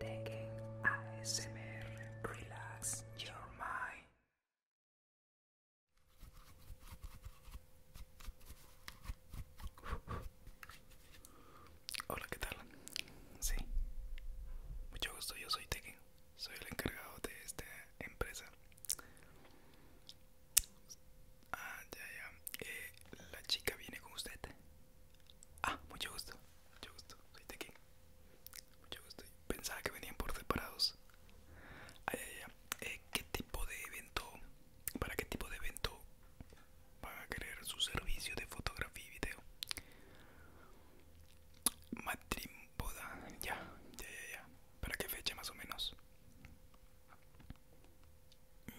Tekken ASMR Relax Your Mind. Hola, ¿qué tal? Sí, mucho gusto, yo soy Tekken, soy el encargado de esta empresa. Ah, ya, ya. Eh, la chica viene con usted. Ah, mucho gusto, mucho gusto, soy aquí. Mucho gusto. Pensaba que venían por separados. Ay, ay, ay. Eh, ¿Qué tipo de evento? ¿Para qué tipo de evento van a querer su servicio de fotografía y video? Matrimonio, ya, ya, ya, ya. ¿Para qué fecha más o menos? Mm,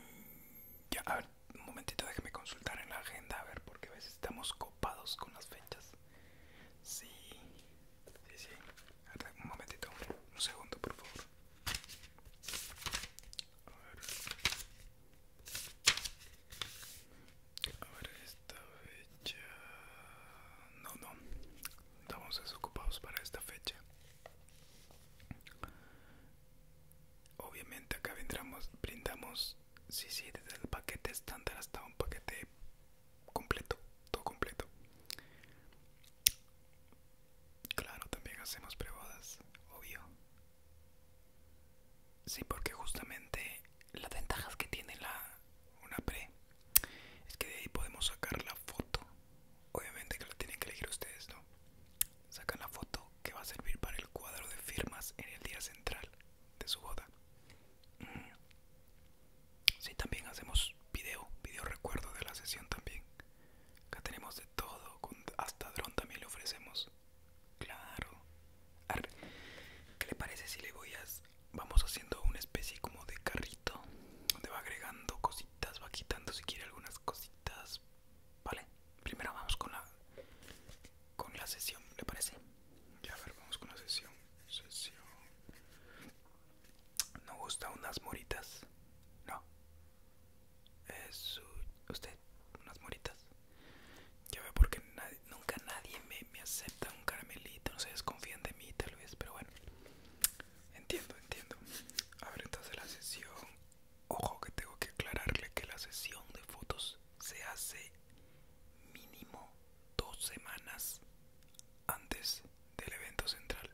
ya, Ah, un momentito déjeme consultar en la agenda a ver porque a veces estamos copados con las fechas sí sí sí un momentito un segundo por favor a ver a ver esta fecha no no estamos desocupados para esta fecha Obviamente acá vendramos, brindamos, sí, sí, desde el paquete estándar hasta un paquete completo, todo completo. Claro, también hacemos prebadas, obvio. Sí, porque justamente las ventajas que tiene la una pre es que de ahí podemos sacar la foto. Obviamente que la tienen que elegir ustedes, ¿no? sacan la foto que va a servir para el cuadro de firmas en el día central de su boda. Mm. Sí, también hacemos video, video recuerdo de la sesión también. Acá tenemos de todo, hasta dron también le ofrecemos. Claro. ¿Qué le parece si le voy a... Vamos haciendo una especie como de carrito, donde va agregando cositas, va quitando si quiere algunas cositas. ¿Vale? primero vamos con la con la sesión, ¿le parece? Ya ver, vamos con la sesión. Sesión. ¿No gusta unas moritas? No. Es usted unas moritas. Ya ve porque nadie, nunca nadie me, me acepta un caramelito, no se desconfían de mí tal vez, pero bueno. Entiendo, entiendo. A ver, entonces la sesión Ojo que tengo que aclararle que la sesión de fotos se hace mínimo dos semanas antes del evento central.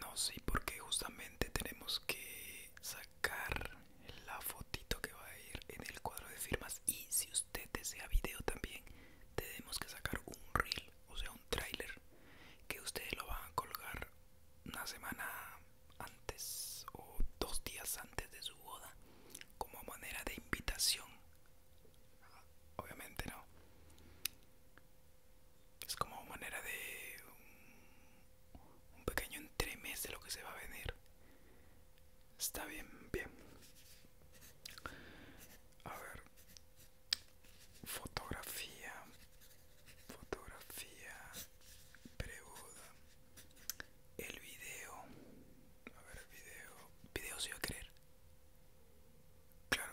No, sí, porque justamente tenemos que sacar la fotito que va a ir en el cuadro de firmas y si usted desea video también tenemos que sacar un reel, o sea un tráiler que ustedes lo van a colgar una semana antes o dos días antes de su boda como manera de invitación obviamente no es como manera de un, pequeño entremez de lo que se va a venir está bien bien a ver fotografía fotografía preboda el video a ver el video video se iba a creer. claro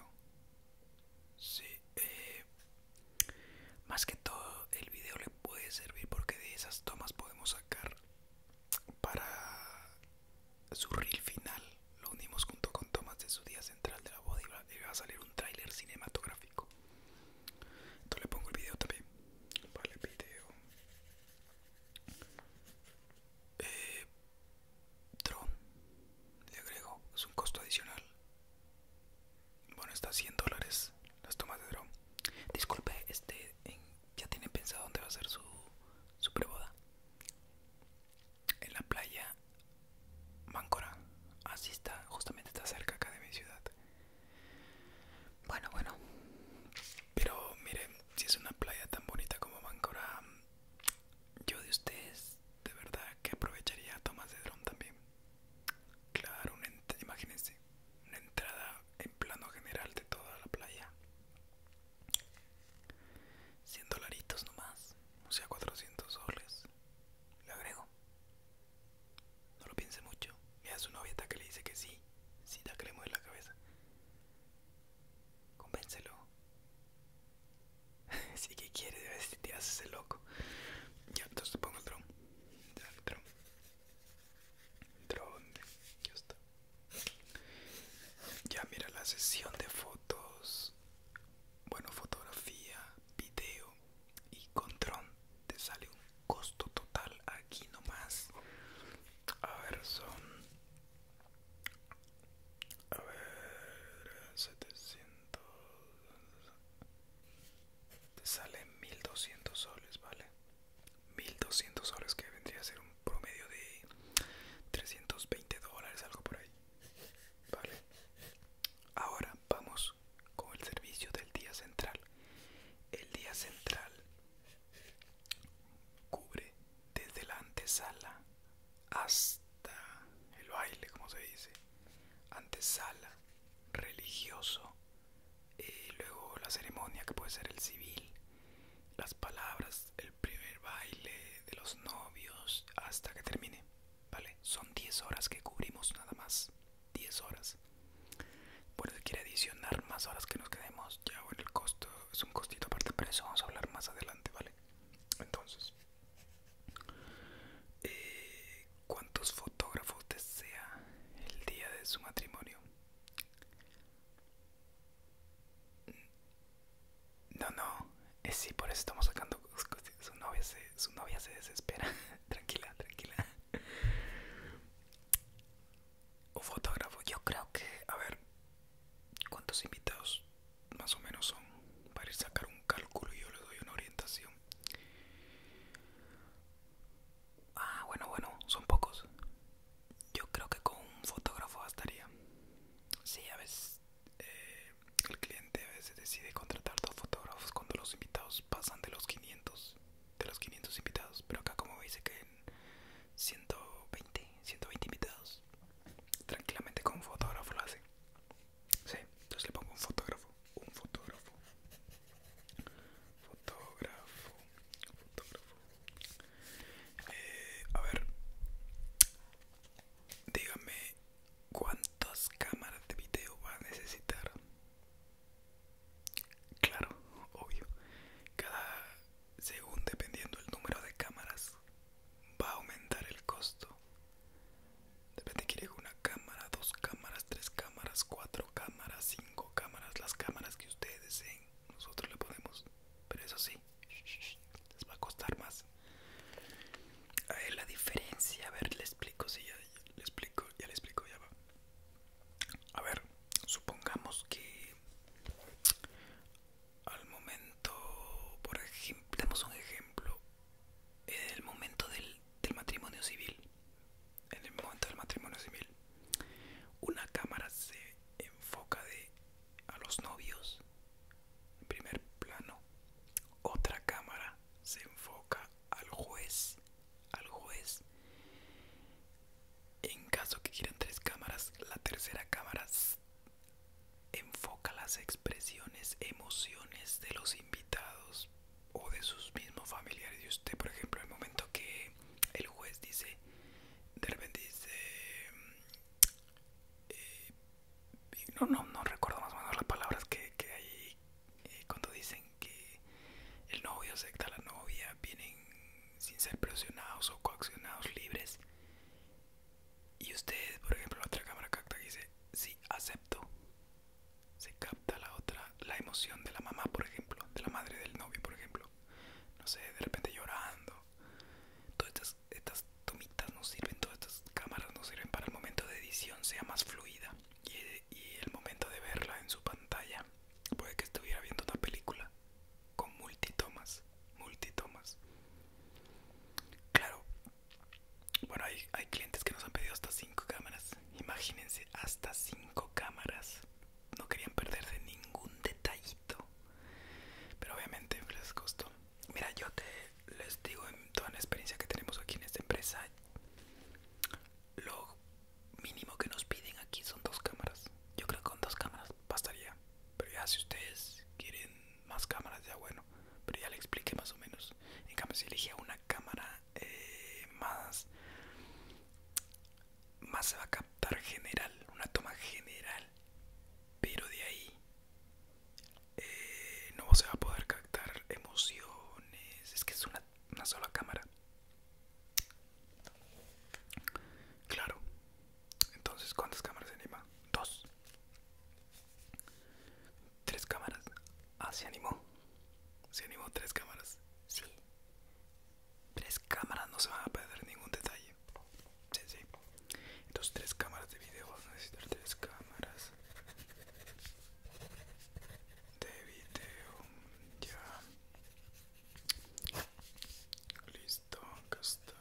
sí eh, más que todo el video le puede servir porque de esas tomas podemos sacar para su reel final lo unimos junto con tomas de su día central de la boda y va a salir un tráiler cinematográfico entonces le pongo el video también. Vale, video. Eh, Le agrego. Es un costo adicional. Bueno, está a 100 dólares las tomas de dron Disculpe, este, ¿ya tiene pensado dónde va a ser su, su preboda? En la playa Máncora. Así está, justamente está cerca acá de mi ciudad. Bueno, bueno. Pero miren, si es una playa tan bonita como Máncora, yo de ustedes de verdad que aprovecharía tomas de dron también. Claro, imagínense, una entrada en plano general de toda la playa. 100 dolaritos nomás, o sea 400 soles. Le agrego. No lo piense mucho. Mira, su novia que le dice que sí. si da que le mueve la cabeza. Convéncelo. si que quiere, si te haces el loco. Ya, entonces pongo el drone, Ya, el Drone. Ya está. Ya, mira la sesión de fotos. Bueno, fotografía, video y con Tron te sale un costo total aquí nomás a ver son a ver 700 te sale 1200 soles vale 1200 soles que vendría a ser un promedio de 320 dólares algo por ahí vale ahora vamos con el servicio del día central. El día central cubre desde la antesala hasta el baile, como se dice. Antesala, religioso, Y eh, luego la ceremonia que puede ser el civil, las palabras, el primer baile de los novios hasta que termine. Vale, son 10 horas que cubrimos nada más. 10 horas bueno si quiere adicionar más horas que nos quedemos ya bueno el costo es un costito aparte pero eso vamos a hablar más adelante vale entonces eh, cuántos fotógrafos desea el día de su matrimonio no, no, es sí, por eso estamos sacando su novia se, su novia se desespera. tranquila, tranquila. Un fotógrafo, yo creo que, a ver, ¿cuántos invitados más o menos son? Para ir a sacar un cálculo, y yo le doy una orientación. Ah, bueno, bueno, son pocos. Yo creo que con un fotógrafo bastaría. Sí, a veces eh, el cliente a veces decide contratar dos fotógrafos cuando los invitados pasan de los 500, de los 500 invitados, pero acá como veis que en 120, 120 invitados, tranquilamente con un fotógrafo lo hace. Sí, entonces le pongo un fotógrafo, un fotógrafo. Fotógrafo, fotógrafo. Eh, a ver, dígame cuántas cámaras de video va a necesitar claro obvio cada según dependiendo el número de cámaras va a aumentar el costo depende quiere una cámara dos cámaras tres cámaras cuatro cámaras cinco cámaras las cámaras que ustedes deseen nosotros le podemos pero eso sí les va a costar más a ver, la diferencia, a ver, le explico, si ya, le explico, ya le explico, ya va. A ver, supongamos que al momento, por ejemplo, demos un ejemplo, en el momento del, del matrimonio civil, en el momento del matrimonio civil, una cámara se enfoca de a los novios en primer plano, otra cámara se enfoca al juez, al juez. En caso que quieran tres cámaras, la tercera cámara enfoca las expresiones, emociones de los invitados o de sus mismos familiares. Y usted, por ejemplo, el momento que el juez dice, de repente dice, eh, no, no, no recuerdo más o menos las palabras que, que hay eh, cuando dicen que el novio acepta a la novia, vienen sin ser presionados o coaccionados libres. Y usted, por ejemplo, la otra cámara capta que dice, sí, acepto. Se capta la otra, la emoción de la mamá, por ejemplo, de la madre del novio, por ejemplo. No sé, de repente llorando. Todas estas, estas tomitas nos sirven, todas estas cámaras no sirven para el momento de edición sea más fluida y, el momento de verla en su pantalla puede que estuviera viendo una película con multitomas, multitomas. Claro, bueno, hay, hay clientes que nos han pedido hasta 5 cámaras. Imagínense, hasta 5 cámaras. No querían perderse ningún detallito. Pero obviamente les costó. Mira, yo te les digo en toda la experiencia que tenemos aquí en esta empresa lo mínimo que nos piden aquí son dos cámaras yo creo que con dos cámaras bastaría pero ya si ustedes quieren más cámaras ya bueno pero ya le expliqué más o menos en cambio si elegía una cámara eh, más más se va a captar general una toma general pero de ahí no se va a poder captar emociones. Es que es una, sola cámara. Claro. Entonces, ¿cuántas cámaras se anima? Dos. Tres cámaras. Ah, se animó. Se animó tres cámaras. Sí. Tres cámaras no se van a perder ningún detalle. Sí, sí. Entonces, tres cámaras de video. tres cámaras de video ya listo castaña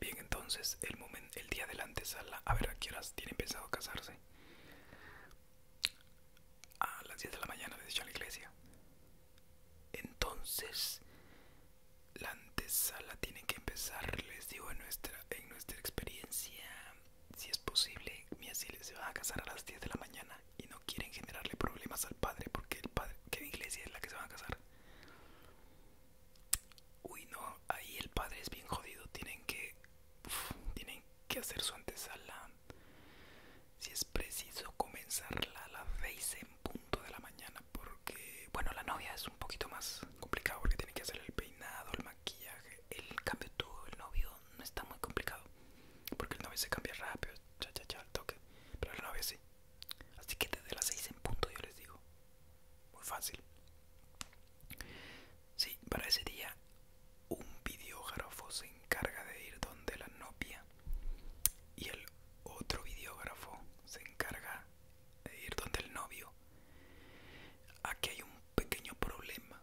bien entonces el momento el día de la antesala a ver a qué horas empezado a casarse a las 10 de la mañana desde la iglesia entonces la antesala tiene que empezar les digo nuestra en nuestra experiencia si es posible, mi asilo se van a casar a las 10 de la mañana y no quieren generarle problemas al padre porque el padre, ¿qué iglesia es la que se van a casar? Uy, no, ahí el padre es bien jodido, tienen que, tienen que hacer su antesala. Si es preciso comenzarla a las 6 en punto de la mañana porque, bueno, la novia es un poquito más complicado porque tiene que hacer el peinado, el el cambio todo el novio, no está muy complicado. Porque el novio se cambia rápido, cha cha cha, al toque. Pero el novio sí. Así que desde las 6 en punto yo les digo. Muy fácil. Sí, para ese día un videógrafo se encarga de ir donde la novia y el otro videógrafo se encarga de ir donde el novio Aquí hay un pequeño problema,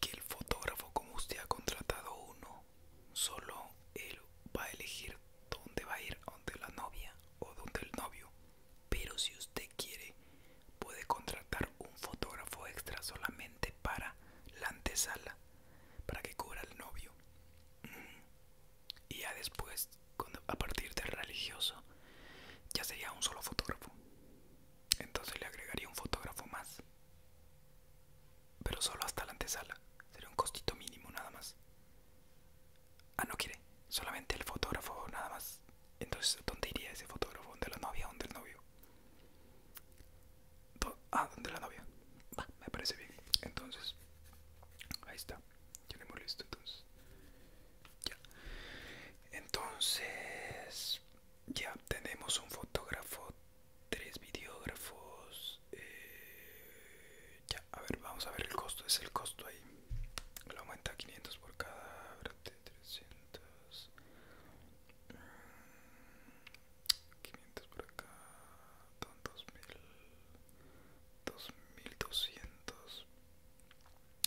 que el fotógrafo como usted ha contratado uno, solo él va a elegir dónde va a ir, donde la novia o dónde el novio. Pero si usted quiere, puede contratar un fotógrafo extra solamente para la antesala, para que cubra el novio. Y ya después, a partir del religioso, ya sería un solo fotógrafo. Entonces le agregaría un fotógrafo más. Pero solo hasta la antesala. Sería un costito mínimo nada más. Ah, no quiere. Solamente el fotógrafo nada más. Entonces, ¿dónde iría ese fotógrafo? ¿Dónde la novia? ¿Dónde el novio? ah, ¿dónde la novia? Va, me parece bien. Entonces, ahí está. Ya listo entonces ya. Entonces, ya tenemos un fotógrafo, tres videógrafos. Eh, ya, a ver, vamos a ver el costo. Es el costo ahí. Lo aumenta 500 por cada. 300. 500 mm, por acá. 2000. 2200.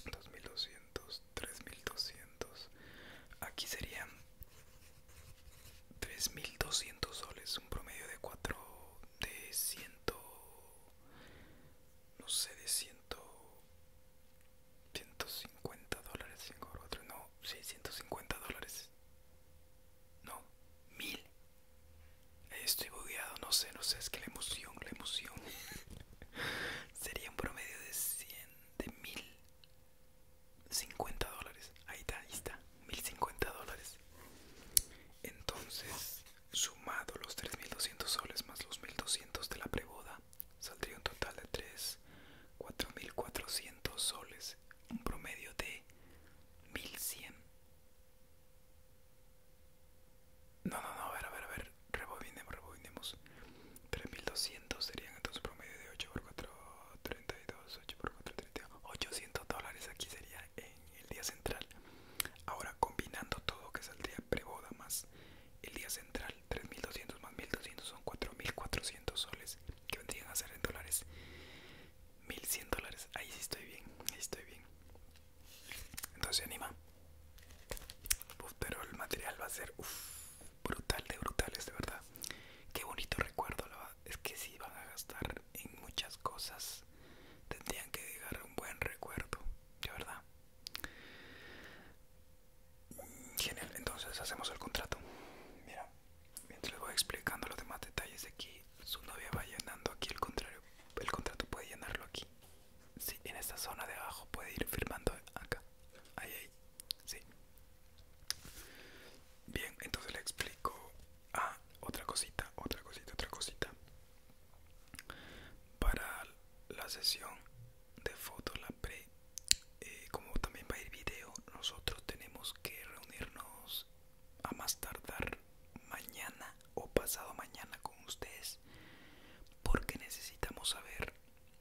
2200 3200 aquí serían 3200 soles un promedio de 4 de 100 no sé de 100 150 dólares 5 4 no 650 dólares no 1000 Estoy bugueado, no sé, no sé, es que la emoción, la emoción. sería un promedio de 100 de 1050 dólares ahí está ahí está 1050 dólares entonces sumado los 3200 soles más los 1200 de la preboda saldría un total de 3 4400 soles un promedio de 1100 no, no, no, a ver, a ver, a ver. Rebobinemos, rebobinemos. 3200 serían entonces promedio de 8 x 4, 32, 8 x 4, 800 dólares aquí sería en el día central. Ahora combinando todo que saldría preboda más el día central, 3200 más 1200 son 4400 soles que vendrían a ser en dólares. 1100 dólares, ahí sí estoy bien, ahí estoy bien. Entonces anima pero el material va a ser brutal de brutales, de verdad. Qué bonito recuerdo, es que si van a gastar en muchas cosas, tendrían que a un buen recuerdo, de verdad. Genial, entonces hacemos el contrato. Mira, mientras les voy explicando los demás detalles de aquí, su novia va llenando aquí el contrario. El contrato puede llenarlo aquí. Sí, en esta zona de abajo puede ir firmando acá. Ahí, ahí. Sí. Bien, entonces le explico. Ah, otra cosita, otra cosita, otra cosita. Para la sesión de fotos, la pre, eh, como también va a ir video, nosotros tenemos que reunirnos a más tardar mañana o pasado mañana con ustedes porque necesitamos saber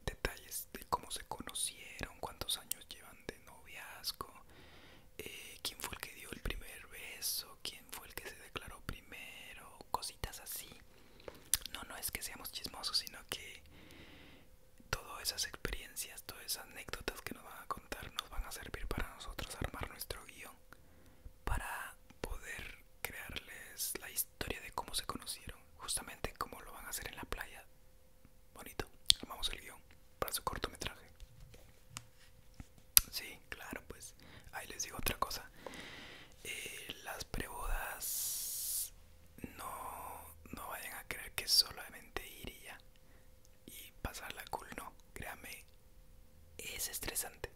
detalles de cómo se conocieron, cuántos años llevan de noviazgo, eh, quién fue el que dio el primer beso, quién fue el que se declaró primero, cositas así. No, no es que seamos chismosos, sino que todas esas experiencias, todas esas anécdotas que nos van a contar nos van a servir para nosotros armar nuestro guión, para poder crearles la historia historia de cómo se conocieron, justamente cómo lo van a hacer en la playa. Bonito, vamos el guión para su cortometraje. Sí, claro, pues ahí les digo otra cosa. Eh, las prebodas no, no vayan a creer que solamente iría y pasarla cool, no, créame, es estresante.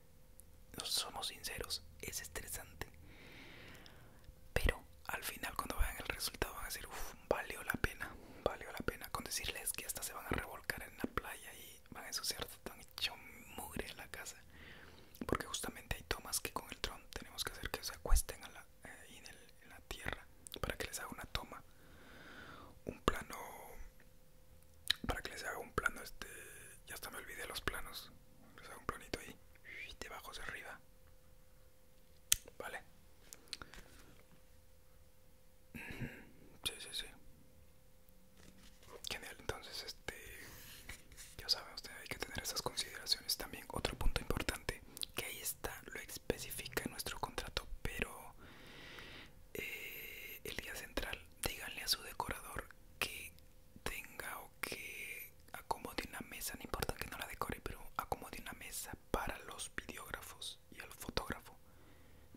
No somos sinceros, es estresante. Pero al final cuando vean el resultado van a decir, uff, valió la pena, valió la pena. Con decirles que hasta se van a revolcar en la playa y van a ensuciar tan hecho mugre en la casa. Porque justamente hay tomas que con el tron tenemos que hacer que se acuesten eh, en, la tierra para que les haga una toma. Un plano... Para que les haga un plano este... Ya hasta me olvidé los planos. Les hago un planito ahí de hacia arriba vale sí sí sí genial entonces este ya saben usted hay que tener esas consideraciones también otro punto importante que ahí está lo especifica en nuestro contrato pero eh, el día central díganle a su decorador que tenga que acomodé una mesa, no importa que no la decore, pero acomodé una mesa para los videógrafos y el fotógrafo.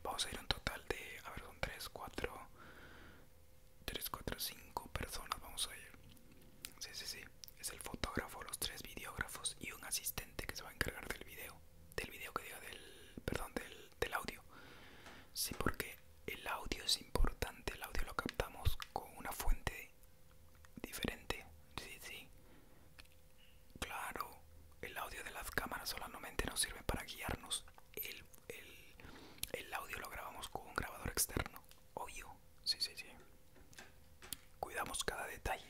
Vamos a ir a un total de, a ver, son 3, 4, 3, 4, 5 personas, vamos a ir. Sí, sí, sí, es el fotógrafo, los 3 videógrafos y un asistente que se va a encargar del video, del video que diga, del, perdón, del, del audio. Sí, porque el audio es importante, el audio lo captamos con una fuente diferente, sí, sí. Claro, el audio de las cámaras solamente nos sirve para guiarnos. El, audio lo grabamos con un grabador externo, obvio, sí, sí, sí. Cuidamos cada detalle,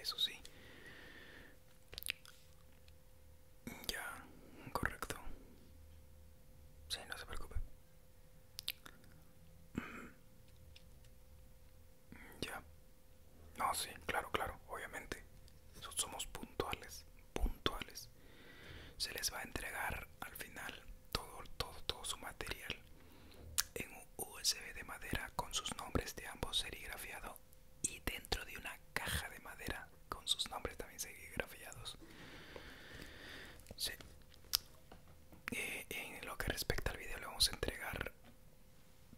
eso sí. Ya, correcto. Sí, no se preocupe. Ya. No, sí, claro, claro, obviamente. Somos puntuales, puntuales. Se les va a entregar al final todo, todo, su material en un USB de madera con sus nombres de ambos serigrafiado y dentro de una caja de madera con sus nombres también serigrafiados. Eh, en lo que respecta al video le vamos a entregar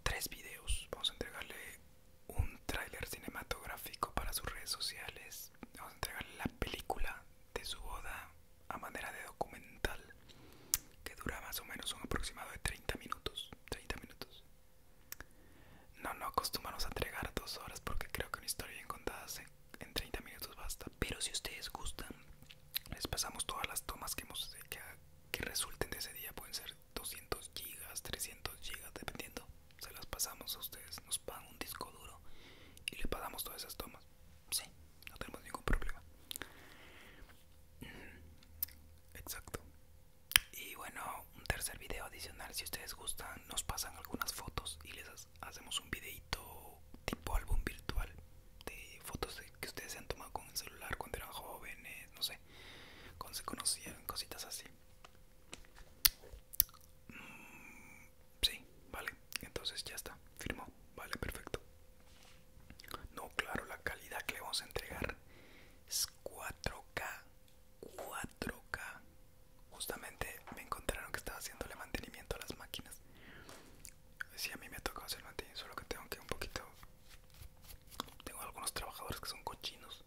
tres videos vamos a entregarle un tráiler cinematográfico para sus redes sociales vamos a entregarle la película de su boda a manera de documental que dura más o menos un aproximado de 30 minutos 30 minutos no no acostumbramos a entregar dos horas porque creo que una historia bien contada se en 30 minutos basta pero si ustedes gustan les pasamos todas las tomas que que, resulten de ese día pueden ser 200 gigas 300 gigas dependiendo se las pasamos a ustedes nos pagan un disco duro y le pagamos todas esas tomas sí no tenemos ningún problema mm, exacto y bueno un tercer video adicional si ustedes gustan nos pasan algunas fotos y les hacemos un videito tipo álbum virtual de fotos que ustedes se han tomado con el celular cuando eran jóvenes, no sé, cuando se conocían, cositas así. Mm, sí, vale, entonces ya está, firmó, vale, perfecto. No, claro, la calidad que le vamos a entregar es 4K, 4K, justamente me encontraron que estaba el mantenimiento a las máquinas. Si, a mí me ha tocado hacer mantenimiento, solo que tengo que un poquito... Tengo algunos trabajadores que son cochinos.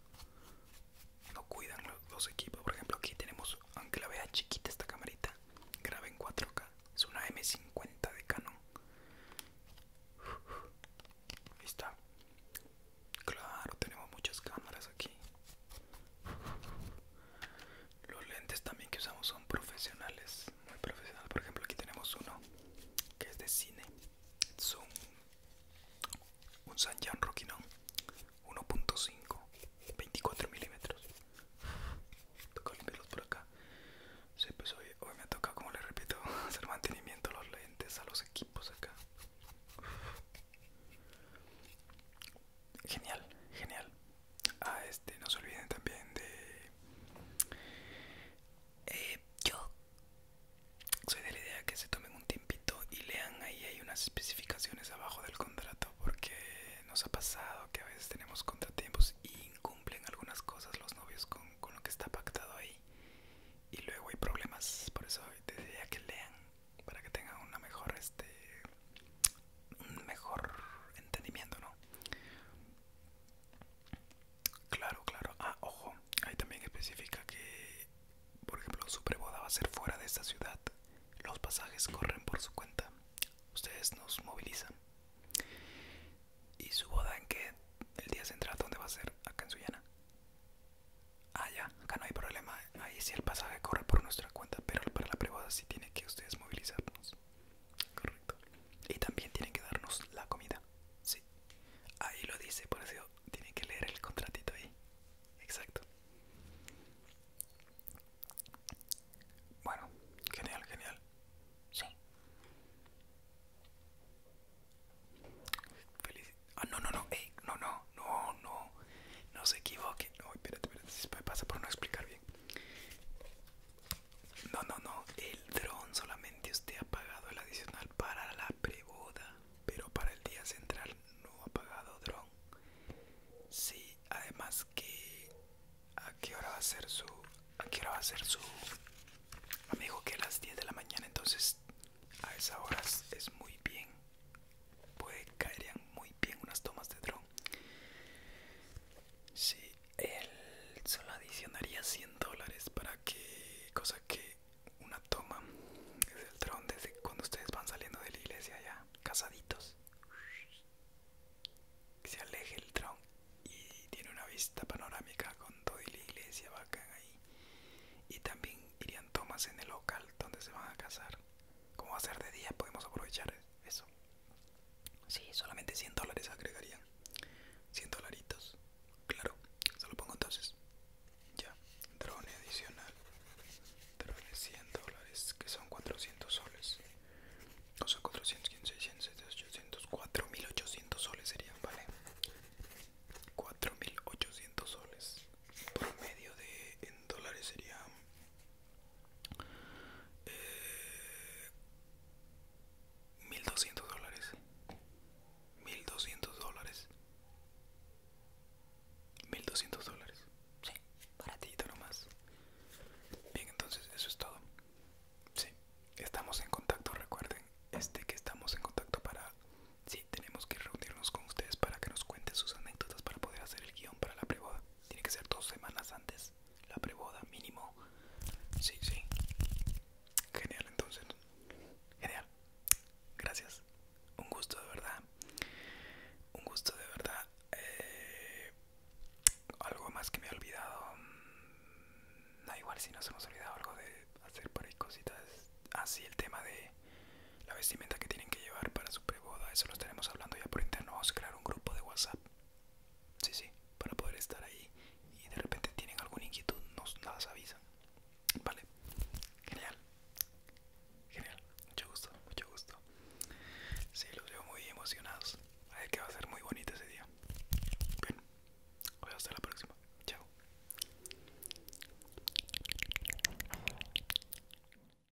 No cuidan los, equipos. Por ejemplo, aquí tenemos, aunque la vea chiquita esta camarita, graba en 4K. Es una M50 de Canon. Ahí está. Claro, tenemos muchas cámaras aquí. Los lentes también que usamos son profesionales, muy profesionales, Por ejemplo, aquí tenemos uno que es de cine. Es un, San 1.5, 24 milímetros. Toca limpiarlos por acá. Sí, pues hoy, hoy me toca, como les repito, hacer mantenimiento a los lentes, a los equipos acá. Genial, genial. Ah, este, no se olviden también de... Eh, yo soy de la idea que se tomen un tiempito y lean ahí hay unas especificaciones abajo del contrato porque nos ha pasado que a veces tenemos contratiempos y incumplen algunas cosas los novios con, con lo que está pactado ahí y luego hay problemas por eso te diría que lean para que tengan una mejor este un mejor entendimiento no claro claro ah ojo ahí también especifica que por ejemplo su preboda va a ser fuera de esta ciudad los pasajes corren por su cuenta ustedes nos movilizan y su boda en qué el día central dónde va a ser acá en Suyana? Ah, ya, acá no hay problema ahí sí el pasaje corre por nuestra cuenta, pero para la privada sí tiene que ustedes movilizarnos. Correcto. Y también tienen que darnos la comida. Sí. Ahí lo dice, por eso tienen que leer el contratito ahí. Exacto. Bueno, genial, genial. Sí. Feliz. Ah, no, no, no. no, no, no, no no se equivoque no, espérate, espérate, si pasa por no explicar bien. No, no, no, el dron solamente usted ha pagado el adicional para la preboda, pero para el día central no ha pagado dron. Sí, además que a qué hora va a ser su a qué hora va a ser su me que a las 10 de la mañana, entonces a esa hora es muy bien pues caerían muy bien unas tomas de dron. Sí, él solo adicionaría 100 dólares para que, cosa que una toma desde el dron, desde cuando ustedes van saliendo de la iglesia ya, casaditos, se aleje el dron y tiene una vista panorámica con toda la iglesia bacán ahí. Y también irían tomas en el local donde se van a casar cómo Como va a ser de día, podemos aprovechar eso. Si solamente 100 dólares agregarían. 100 dolaritos. Claro, se lo pongo entonces. Ya, drone adicional. Drone 100 dólares, que son 400 soles. No sea, 400, 500, 600, 800, 4800 soles serían, ¿vale? 4800 soles. Por medio de en dólares serían 1200 eh, dólares 1200 dólares 1200 dólares sí baratito nomás bien entonces eso es todo sí estamos en contacto recuerden este que estamos en contacto para sí tenemos que reunirnos con ustedes para que nos cuenten sus anécdotas para poder hacer el guión para la privada tiene que ser dos semanas antes la preboda mínimo. Sí, sí. Genial entonces. Genial. Gracias. Un gusto de verdad. Un gusto de verdad. Eh, algo más que me he olvidado. Da mm, igual si nos hemos olvidado algo de hacer por ahí cositas. Así ah, el tema de la vestimenta que tienen que llevar para su pre-boda eso lo estaremos hablando ya por interno, vamos a crear un grupo de WhatsApp, sí, sí, para poder estar ahí y de repente tienen alguna inquietud, nos las avisan, vale, genial, genial, mucho gusto, mucho gusto, sí, los veo muy emocionados, a ver que va a ser muy bonito ese día, bueno, pues hasta la próxima, chao.